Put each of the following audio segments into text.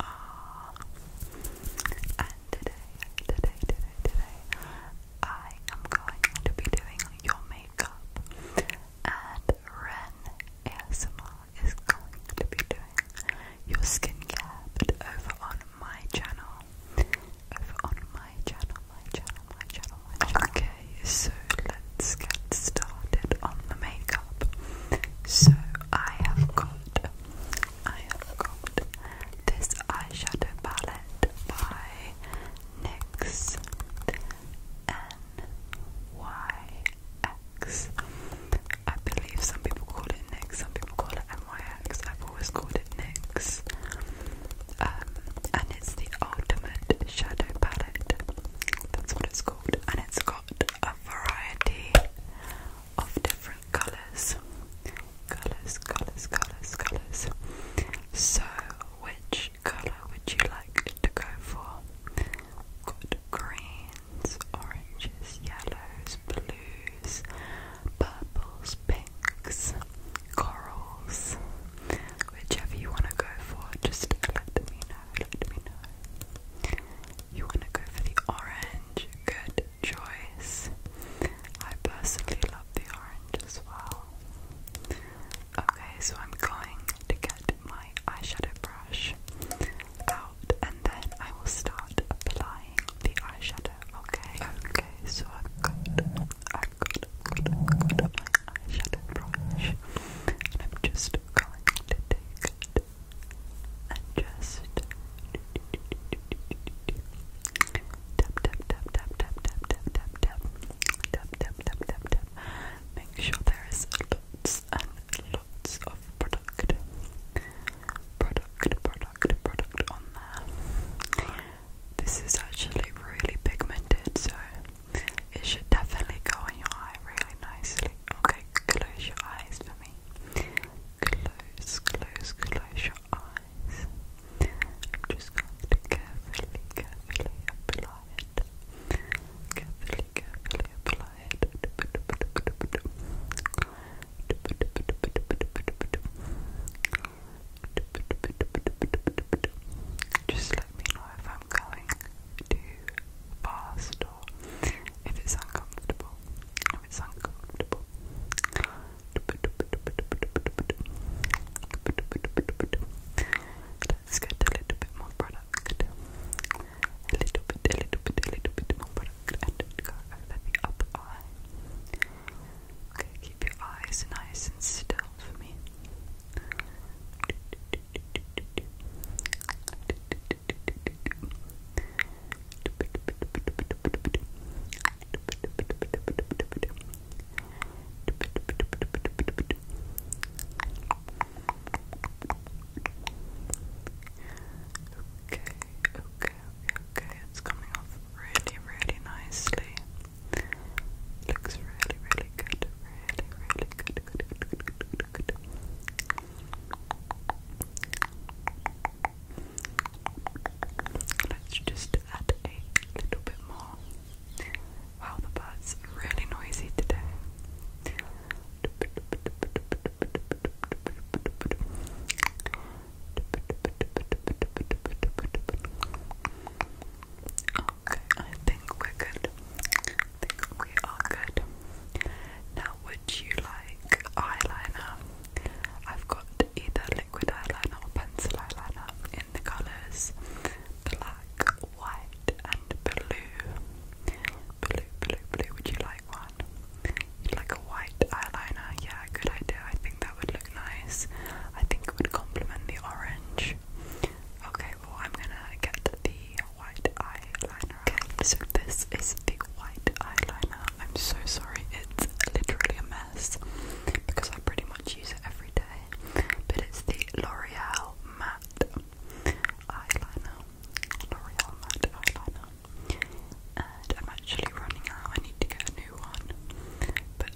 are. And today, today, today, today, I am going to be doing your makeup, and Ren ASMR is going to be doing your skincare, but over on my channel. Over on my channel, my channel, my channel, Okay, so let's get started on the makeup. So I have got I have got this eyeshadow palette by NYX N Y X. I believe some people call it NYX, some people call it NYX. I've always called it NYX. Um, and it's the ultimate shadow palette. That's what it's called. And it's got a variety of different colours. Colours, colours, colours, colours. So, which colour would you like to go for? got greens, oranges, yellows, blues, purples, pinks, corals. Whichever you want to go for, just let me know let me know. You want to go for the orange? Good choice. I personally love the orange as well. Okay, so I'm going to get my eyeshadow brush out and then I will start applying the eyeshadow, okay? Okay, so I've got, I've got, my eyeshadow brush and I'm just just tap tap tap tap tap tap tap tap tap tap tap tap tap tap make sure there is lots and lots of product product product product on there this is actually really pigmented so it should definitely go in your eye really nicely. Okay, close your eyes for me. Close, close, close your eyes. I'm just going to carefully, carefully apply it. Carefully, carefully apply it. Just let me know if I'm going too fast or if it's uncomfortable. If it's uncomfortable. Let's get a little bit more product. A little bit, a little bit, a little bit more product and go over the Okay, keep your eyes nice and still for me. Okay, okay, okay, it's coming off really, really nicely. Looks really, really good, really, really good. Let's just add a little bit more. Wow, the bird's really noisy today. Okay, I think we're good. I think we are good. Now, would you like eyeliner? I've got either liquid eyeliner or pencil eyeliner in the colours black, white, and blue. Blue, blue, blue. Would you like one? you like a white eyeliner? Yeah, good idea. I think that would look nice. I think it would complement the orange. Okay, I'm gonna get the white eyeliner. Okay, so this is the white eyeliner. I'm so sorry, it's literally a mess because I pretty much use it every day. But it's the L'Oreal Matte Eyeliner. L'Oreal Matte Eyeliner. And I'm actually running out, I need to get a new one. But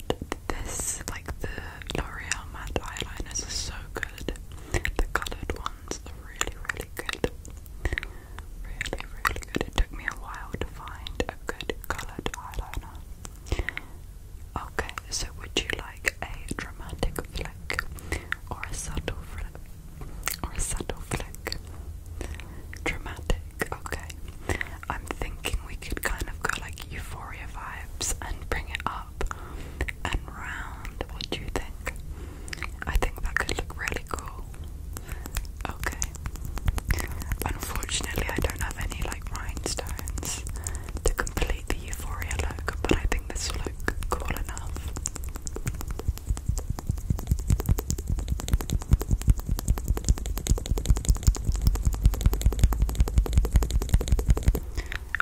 this, like the L'Oreal matte eyeliners are so good. The coloured ones are really, really good. Really, really good. It took me a while to find a good coloured eyeliner. Okay, so would you like a dramatic flick or a subtle flick? Or a subtle flick? Dramatic, okay. I'm thinking we could kind of go like euphoria vibes and bring it up and round. What do you think? I think that could look really cool. Okay. Unfortunately, I don't have any like rhinestones to complete the euphoria look, but I think this will look cool enough.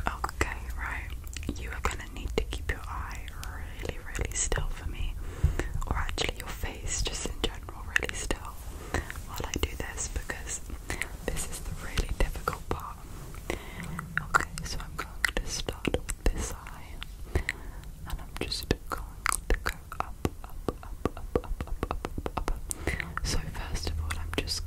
Okay, right. You are gonna need to keep your eye really, really still for me, or actually your face just in general really still while I do this because this is the really difficult part. Okay, so I'm going to start with this eye and I'm just going to go up, up, up, up, up, up, up, up, up. So, first of all, I'm just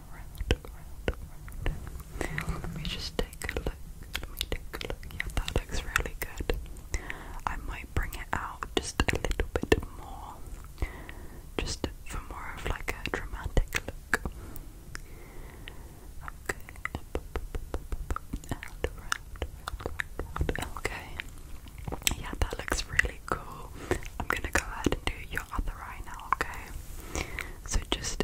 let me just take a look. Let me take a look. Yeah, that looks really good. I might bring it out just a little bit more. Just for more of like a dramatic look. Okay. Okay. Yeah, that looks really cool. I'm gonna go ahead and do your other eye now, okay? So just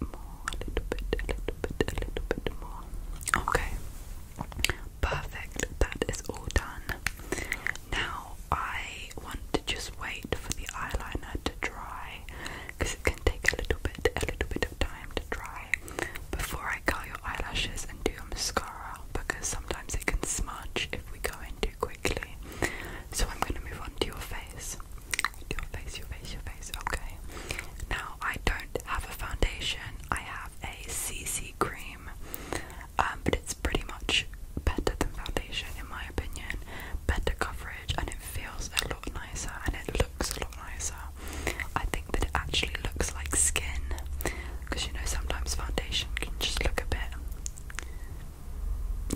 more, a little bit, a little bit, a little bit more. Okay, perfect. That is all done. Now I want to just wait for the eyeliner to dry because it can take a little bit, a little bit of time to dry before I curl your eyelashes and do your mascara because sometimes it can smudge if we go in too quickly. So I'm going to move on to your face. Your face, your face, your face. Okay. Now I don't have a foundation. I have a CC cream, um, but it's pretty much better than foundation in my opinion. Better coverage, and it feels a lot nicer, and it looks a lot nicer. I think that it actually looks like skin, because you know sometimes foundation can just look a bit.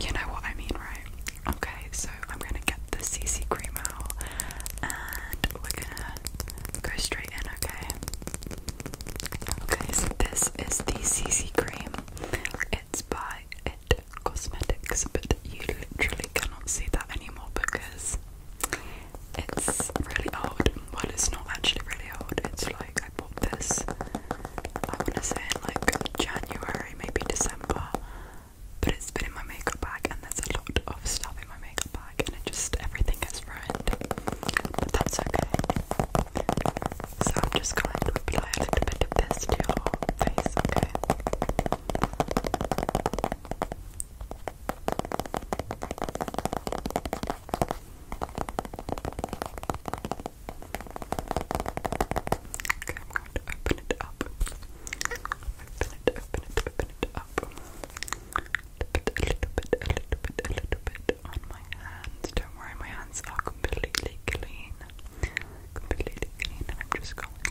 You know what I mean, right? Okay, so I'm gonna get the CC cream out and we're gonna go straight in, okay? Okay, so this is the CC cream. It's by It Cosmetics, but you literally cannot see that anymore because it's really old. Well, it's not actually really old, it's like I bought this, I want to say in like January, maybe December but it's been in my makeup bag and there's a lot of stuff in my makeup bag and it just everything gets ruined. But that's okay. So I'm just going to apply a little bit of this to your face, okay? Okay, I'm going to open it up. Open it, open it, open it up. Put a little bit, a little bit, a little bit on my hands. Don't worry, my hands are completely clean. Completely clean. I'm just going to. do.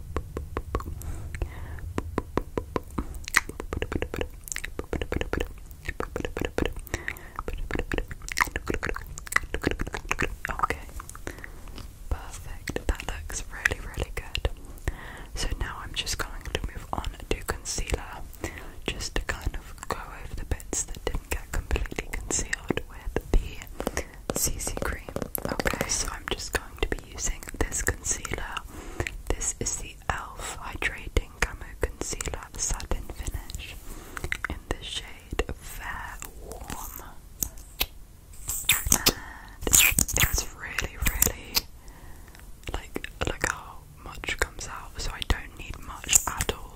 Okay, perfect. That looks really, really good. So now I'm just going to move on to concealer just to kind of go over the bits that didn't get completely concealed with the CC cream. Okay, so I'm just going to be using this concealer. This is the e.l.f. Hydrating Camo Concealer Satin Finish in the shade Fair Warm. And it's really, really like look how much comes out, so I don't need much at all.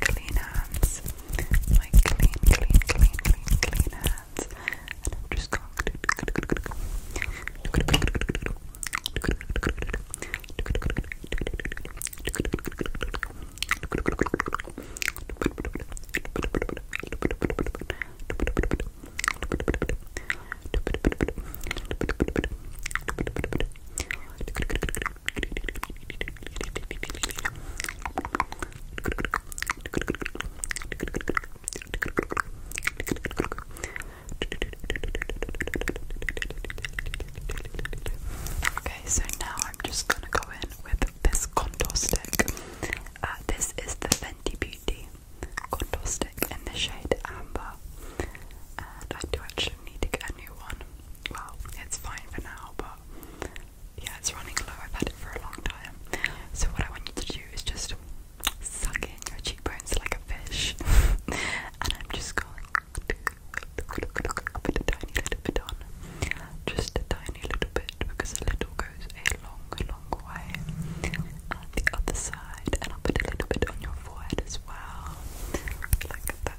clean hands. My clean, clean, clean, clean, clean hands. And I'm just going to Okay, so now I'm just gonna go in with this contour stick. Uh, this is the Fenty Beauty contour stick in the shade Amber, I do actually need a new one. Well, it's fine for now, but yeah, it's running low. I've had it for a long time. So what I want you to do is just suck in your cheekbones like a fish, and I'm just going to put a tiny little bit on, just a tiny little bit because a little goes a long, long way. On the other side, and I'll put a little bit on your forehead as well, like that.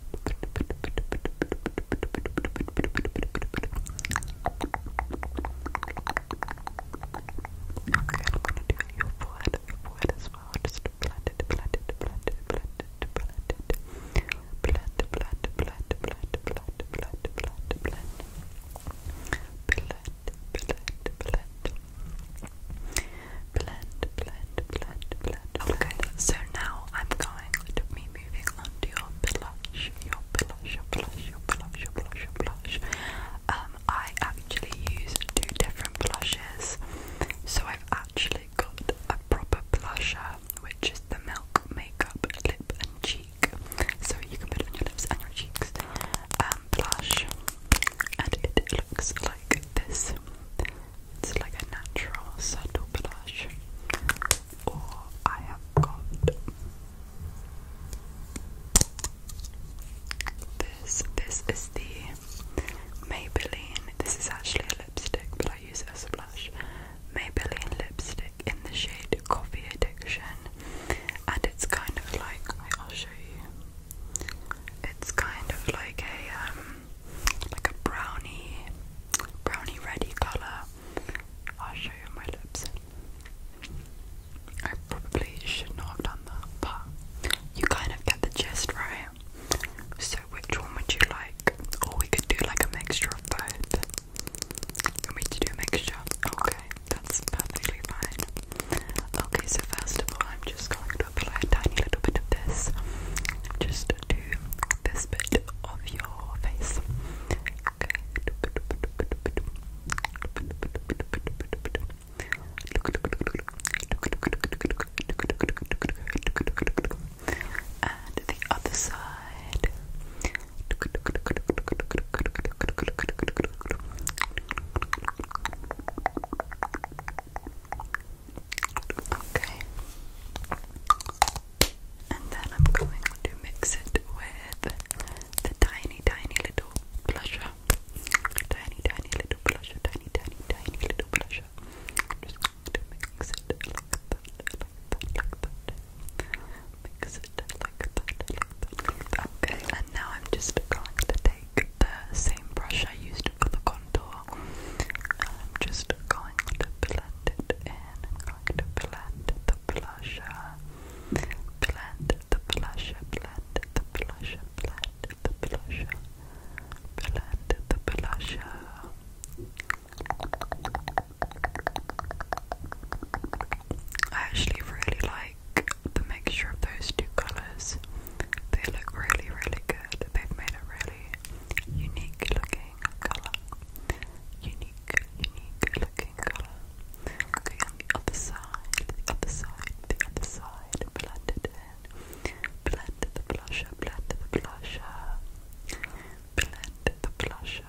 Okay, so now I'm going to mimic moving on to your blush, your blush, your blush, your blush, your blush, your blush. Um, I actually use two different blushes. So I've actually got a proper blusher, which is the Milk Makeup Lip and Cheek. So you can put it on your lips and your cheeks. Um, blush, and it looks like this. It's like a natural, subtle blush or I have got this. This is the Maybelline. This is actually a lipstick, but I use it as a blush. Maybelline lipstick in the shade Coffee Addiction. And it's kind of like, I'll show you. It's kind of like a um like a brownie, brownie ready colour. I'll show you my lips. I probably should not have done that, but you kind of get the gist, right? So, which one would you like? Or we could do like a mixture of both. You want to do a mixture? Okay, that's perfectly fine. Okay, so first of all, I'm just going to apply a tiny little bit of this. Just do this bit of your your face. Okay. And the other side. Okay. And then I'm going to mix it with the tiny, tiny little blusher. Tiny, tiny little blusher. Tiny, tiny, tiny little blusher. just to mix it Mix it Okay, and now I'm just going to take the same brush I used for the contour I'm just going to blend it in. I'm going to blend the blusher. Blend the blusher, blend the blusher, blend the blusher. Blend the blusher. I actually really like the mixture of those two colours. They look really, really good. They've made a really unique looking looking Unique, unique looking colour. Okay, on the other side, the other side, the other side. Blend in. Blend the blusher, blend the blusher. Blend the blusher.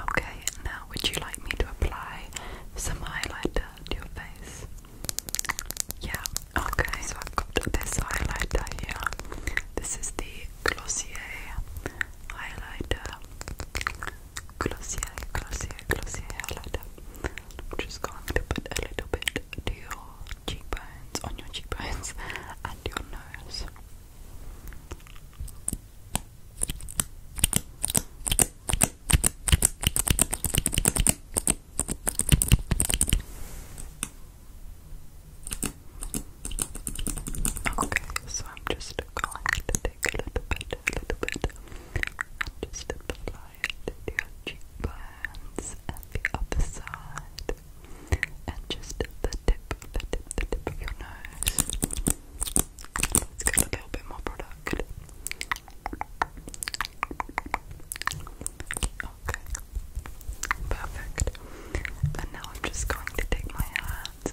Okay, now would you like me to apply some highlighter to your face? Yeah, okay, so I've got this highlighter here. This is the Glossier highlighter. Glossier, Glossier, Glossier highlighter. I'm just going to put a little bit to your cheekbones, on your cheekbones, and your nose. Okay, so I'm just going to take a little bit, a little bit, and just apply it cheekbones and the other side and just the tip, the tip, the tip of your nose. Let's get a little bit more product. Okay, perfect. And now I'm just going to take my hands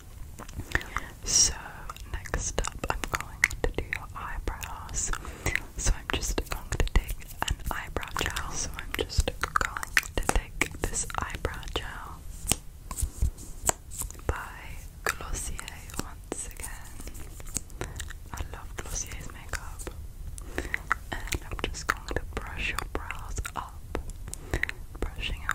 So, next up, I'm going to do your eyebrows. So, I'm just going to take an eyebrow gel. So, I'm just going to take this eyebrow gel by Glossier once again. I love Glossier's makeup. And I'm just going to brush your brows up, brushing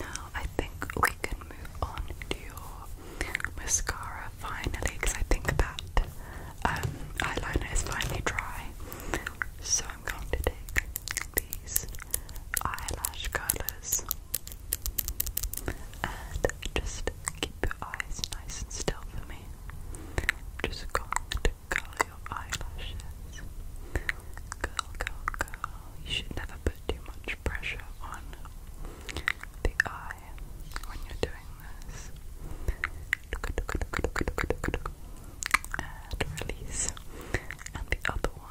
Now I think we can move on to your mascara finally because I think that um, eyeliner is finally dry. So I'm going to take these eyelash curlers and just keep your eyes nice and still for me. just going to curl your eyelashes. Curl, curl, curl. You should never put too much pressure on the eye when you're doing this. And release. And the other one.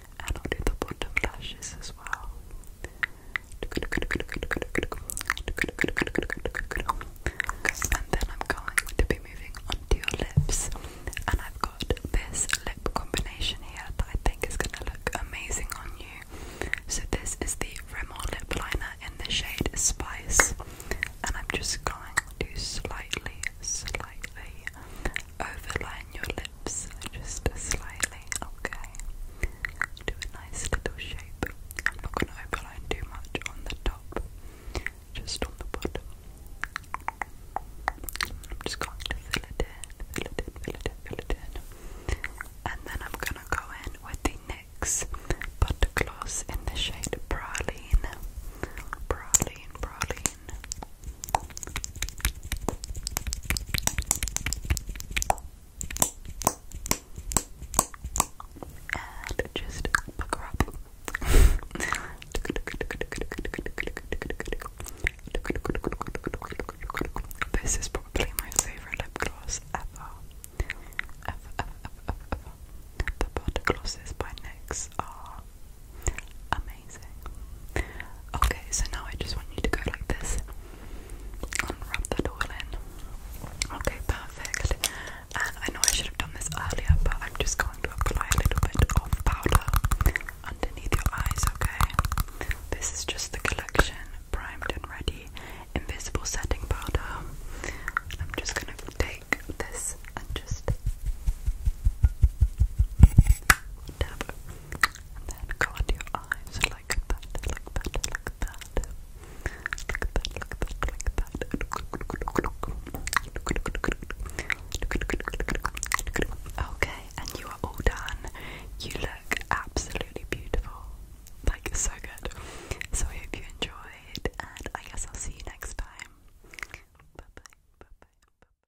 and i the bottom lashes as well. and then I'm going to be moving onto your lips, and I've got this lip combination here that I think is going to look amazing on you. So, this is the Rimmel lip liner in the shade Spice, and I'm just going to slightly, slightly overline your lips just slightly, okay? Do a nice little shape. I'm not going to overline too much on the top, just on the bottom. I'm just going to fill it in, fill it in, fill it in, fill it in. And then I'm going to go in with the NYX Butter Gloss in the shade Praline. Praline, Praline. And just book her up. This is probably my favorite lip gloss ever. Ever, ever, ever, ever, ever. The body glosses by NYX are Amazing. Okay, so now I just want you to go like this and rub that in. Okay, perfect. And I know I should have done this earlier, but I'm just going to apply a little bit of powder underneath your eyes, okay? This is just the collection primed and ready invisible setting powder. I'm just gonna take this and just tap and then go your eyes like that, like that, like that. Like that, like that, like that. Okay, and you are all done. You look absolutely beautiful. Like, so good. So, I hope you enjoyed, and I guess I'll see you next time. Bye bye, bye bye, bye bye.